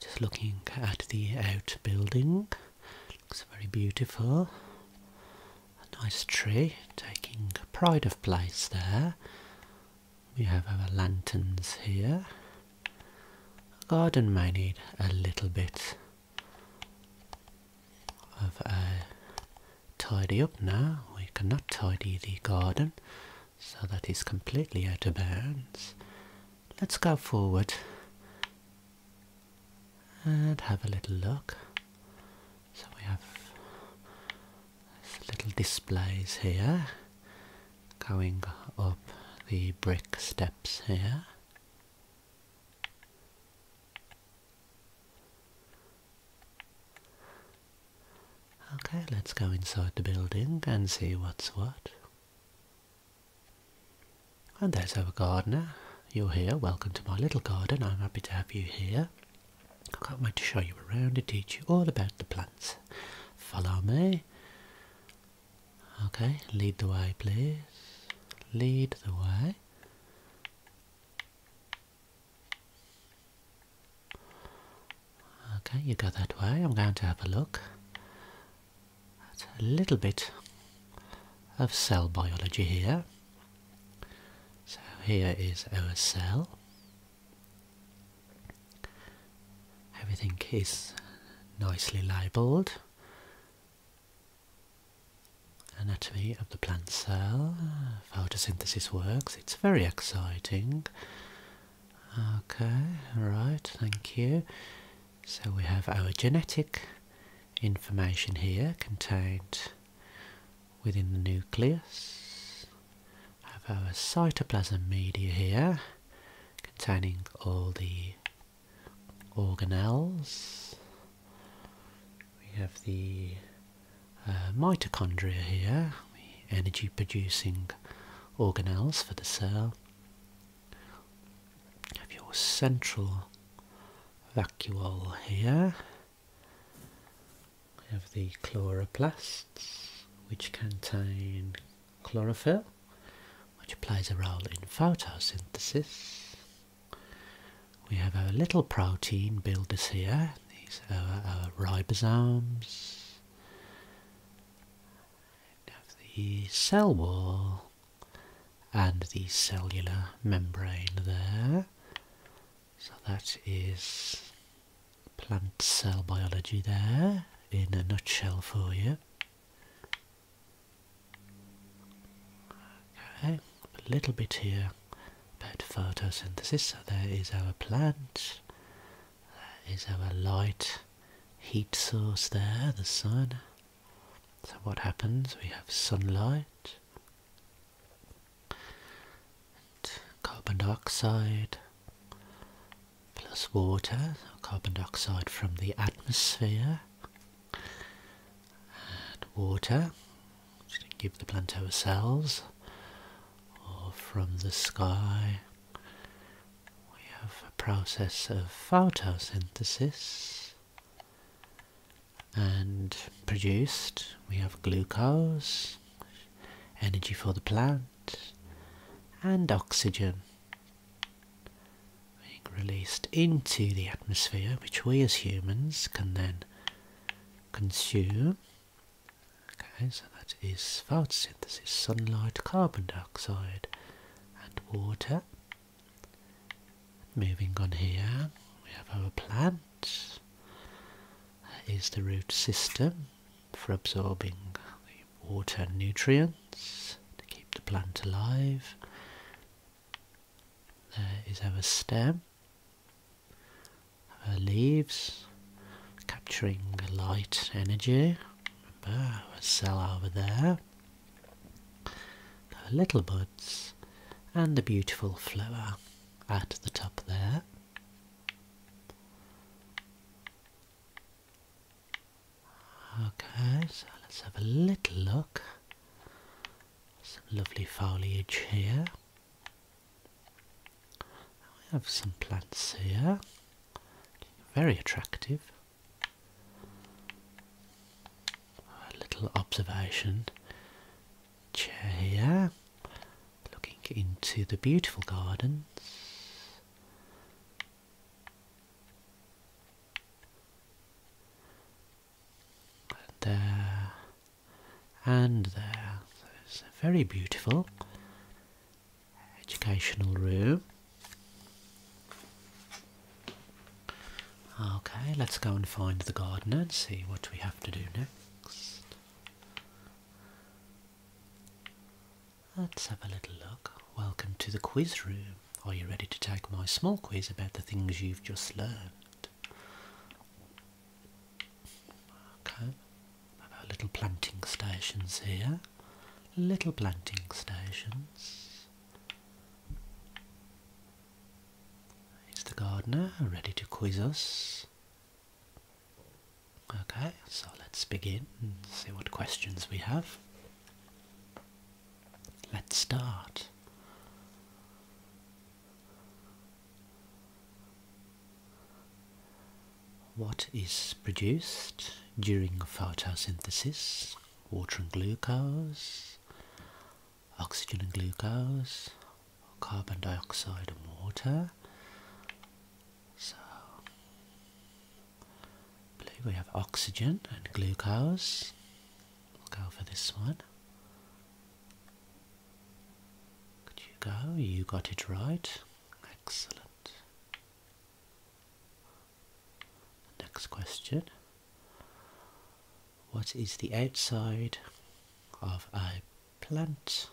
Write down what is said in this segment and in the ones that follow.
just looking at the outbuilding, looks very beautiful. nice tree, taking pride of place there. We have our lanterns here. The garden may need a little bit of a tidy up now. We cannot tidy the garden so that is completely out of bounds. Let's go forward and have a little look. So we have little displays here going up the brick steps here. Okay, let's go inside the building and see what's what. And there's our gardener. You're here. Welcome to my little garden. I'm happy to have you here. I can't wait to show you around and teach you all about the plants. Follow me. Okay, lead the way, please. Lead the way. Okay, you go that way. I'm going to have a look at a little bit of cell biology here. So here is our cell. Everything is nicely labelled. Anatomy of the plant cell, photosynthesis works, it's very exciting. Okay, right, thank you. So we have our genetic information here contained within the nucleus. We Have our cytoplasm media here containing all the organelles. We have the uh, mitochondria here, the energy producing organelles for the cell. You have your central vacuole here. We have the chloroplasts, which contain chlorophyll, which plays a role in photosynthesis. We have our little protein builders here, these are our ribosomes have the cell wall and the cellular membrane there. So that is plant cell biology there in a nutshell for you. Okay, a little bit here about photosynthesis. So there is our plant that is our light heat source there, the sun. So what happens? We have sunlight, carbon dioxide plus water, carbon dioxide from the atmosphere, and water, which we give the plant ourselves, or from the sky we have a process of photosynthesis and produced we have glucose, energy for the plant and oxygen being released into the atmosphere which we as humans can then consume Okay, so that is photosynthesis, sunlight, carbon dioxide and water. Moving on here, we have our plant. That is the root system for absorbing the water and nutrients to keep the plant alive. There is our stem leaves, capturing light energy. a cell over there. The little buds and a beautiful flower at the top there. Okay, so let's have a little look. Some lovely foliage here. I have some plants here, very attractive. A little observation chair here, looking into the beautiful gardens. And there, and there, it's very beautiful educational room. Okay, let's go and find the gardener and see what we have to do next. Let's have a little look. Welcome to the quiz room. Are you ready to take my small quiz about the things you've just learned? Okay, little planting stations here. Little planting stations. Is the gardener ready to quiz us? Okay, so let's begin see what questions we have. Let's start. What is produced during photosynthesis? Water and glucose, oxygen and glucose, carbon dioxide and water. So, I believe we have oxygen and glucose. We'll go for this one. Could you go? You got it right. Excellent. Next question. What is the outside of a plant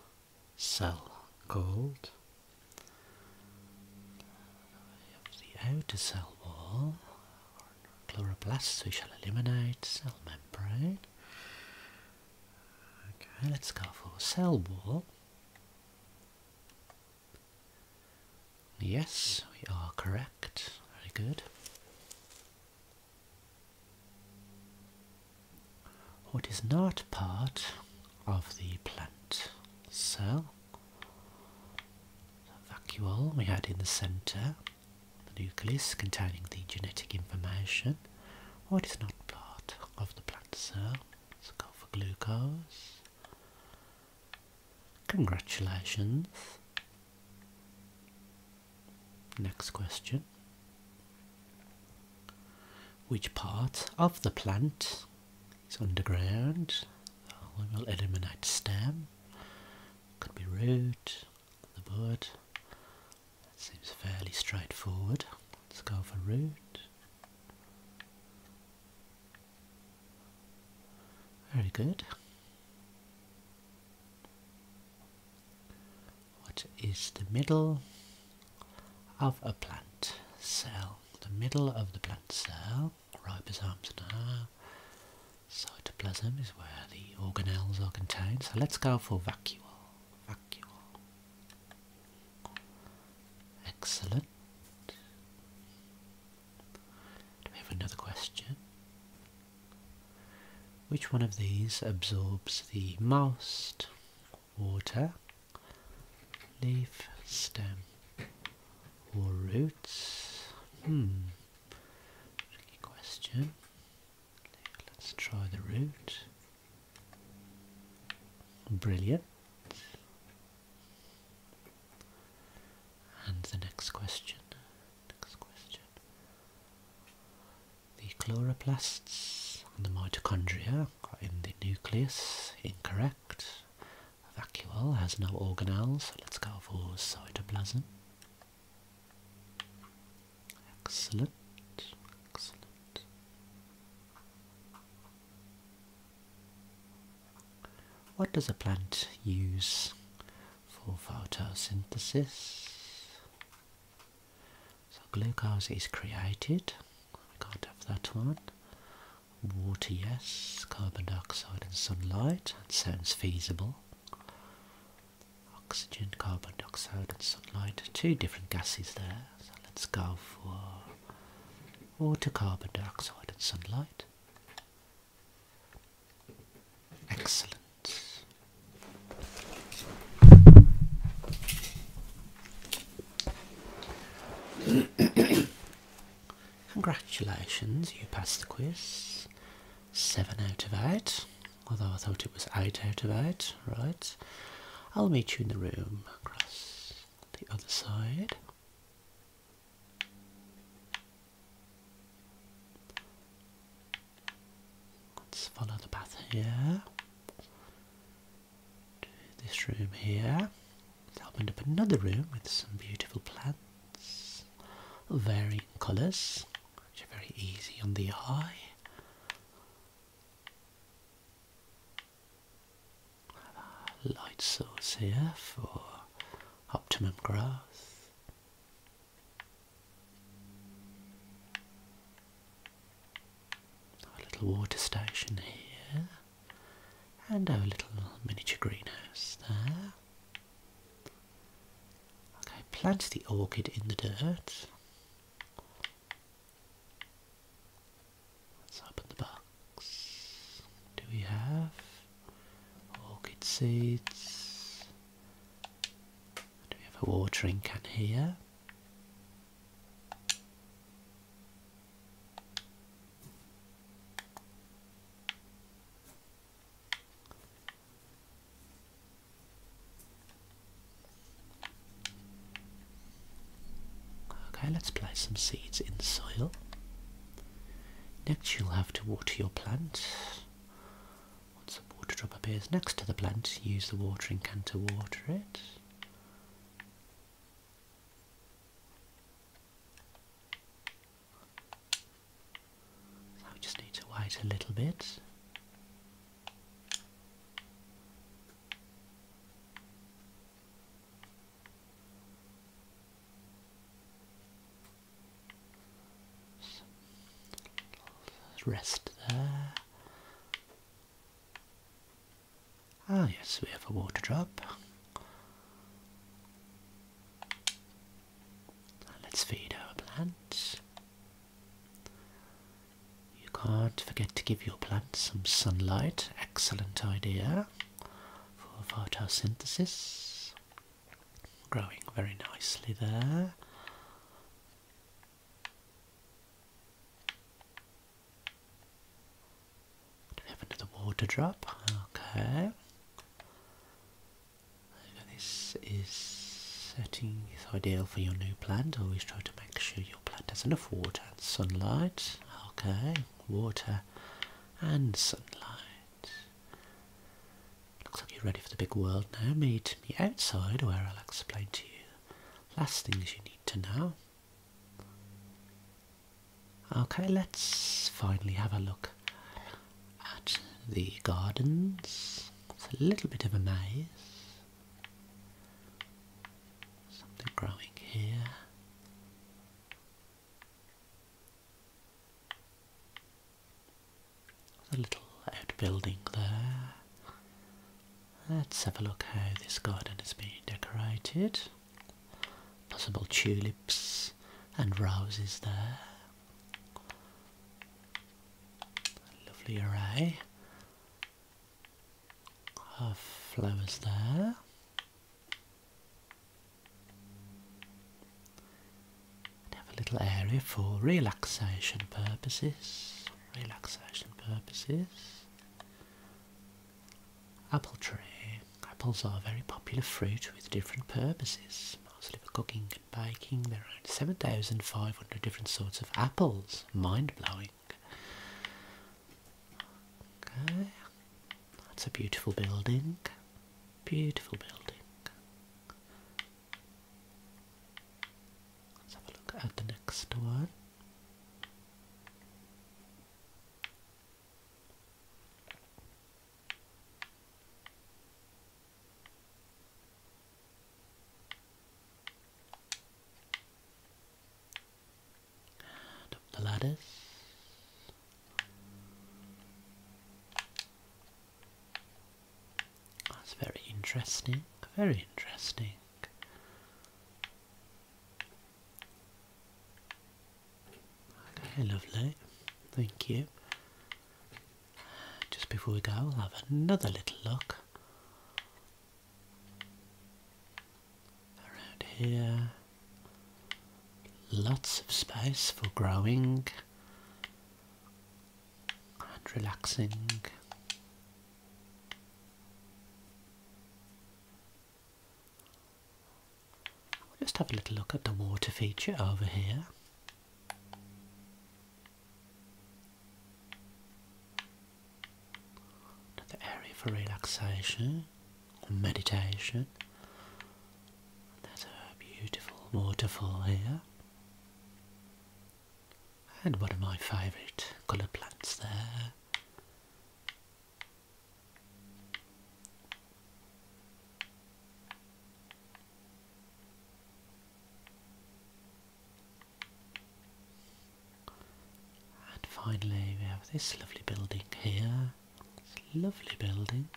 cell called? the outer cell wall, chloroplasts we shall eliminate, cell membrane. Okay, let's go for cell wall. Yes, we are correct. Very good. What is not part of the plant cell? vacuole we had in the centre, the nucleus containing the genetic information. What oh, is not part of the plant cell? Let's go for glucose. Congratulations. Next question. Which part of the plant is underground? Oh, we will eliminate stem. Could be root, the bud. That seems fairly straightforward. Let's go for root. Very good. What is the middle of a plant cell? The middle of the plant cell, ribosomes and our cytoplasm is where the organelles are contained. So let's go for vacuole. Fuck Excellent. Do we have another question? Which one of these absorbs the most water, leaf, stem, or roots? Hmm. Tricky question. Let's try the root. Brilliant. And the next question. The chloroplasts and the mitochondria are in the nucleus. Incorrect. Vacuole has no organelles, let's go for cytoplasm. Excellent. Excellent. What does a plant use for photosynthesis? So glucose is created. I can't have that one. Water, yes. Carbon dioxide and sunlight. That sounds feasible oxygen, carbon dioxide and sunlight, two different gases there, so let's go for water, carbon dioxide and sunlight. Excellent. Congratulations, you passed the quiz. Seven out of eight although I thought it was eight out of eight, right? I'll meet you in the room across the other side. Let's follow the path here to this room here. It's opened up another room with some beautiful plants varying colours, which are very easy on the eye light source here for optimum growth. A little water station here, and our little miniature greenhouse there. Okay, plant the orchid in the dirt. Let's open the box. Do we have orchid seeds? Do we have a watering can here? Okay, let's place some seeds in soil. Next you'll have to water your plant. Once the water drop appears next to the plant, use the watering can to water it. So we just need to wait a little bit. rest there. Ah yes, we have a water drop. Let's feed our plants. You can't forget to give your plants some sunlight. Excellent idea for photosynthesis. Growing very nicely there. Do we have another water drop? Okay this is setting is ideal for your new plant. Always try to make sure your plant has enough water and sunlight. Okay, water and sunlight. Looks like you're ready for the big world now. Meet me outside where I'll explain to you last things you need to know. Okay, let's finally have a look at the gardens. It's a little bit of a maze. Something growing here. There's a little outbuilding there. Let's have a look how this garden is being decorated. Possible tulips and roses there. A lovely array of flowers there. have a little area for relaxation purposes. Relaxation purposes. Apple tree. Apples are a very popular fruit with different purposes, mostly for cooking baking. There are 7,500 different sorts of apples. Mind blowing. Okay, that's a beautiful building. Beautiful building. Let's have a look at the next one the ladders. That's very interesting, very interesting. Okay, lovely. Thank you. Just before we go, we'll have another little look around here. Lots of space for growing and relaxing. Just have a little look at the water feature over here. Another area for relaxation or meditation. There's a beautiful waterfall here. And one of my favourite colour plants there. And finally we have this lovely building here. It's a lovely building.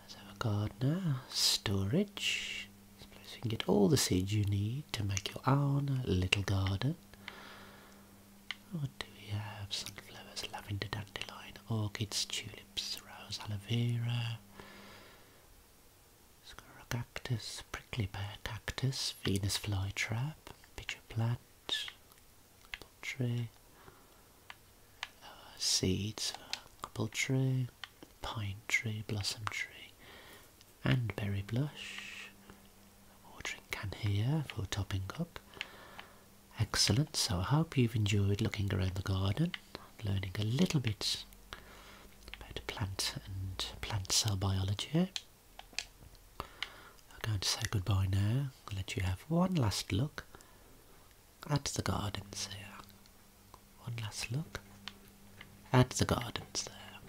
Let's have a gardener. Storage. This place you can get all the seeds you need to make your own little garden. What do we have? Sunflowers, lavender, dandelion, orchids, tulips, rose, aloe vera, squirrel prickly pear cactus, Venus flytrap, pitcher plant, poultry, tree, uh, seeds for tree, pine tree, blossom tree, and berry blush, watering can here for topping up. Excellent, so I hope you've enjoyed looking around the garden, learning a little bit about plant and plant cell biology. I'm going to say goodbye now, I'll let you have one last look at the gardens here. One last look at the gardens there.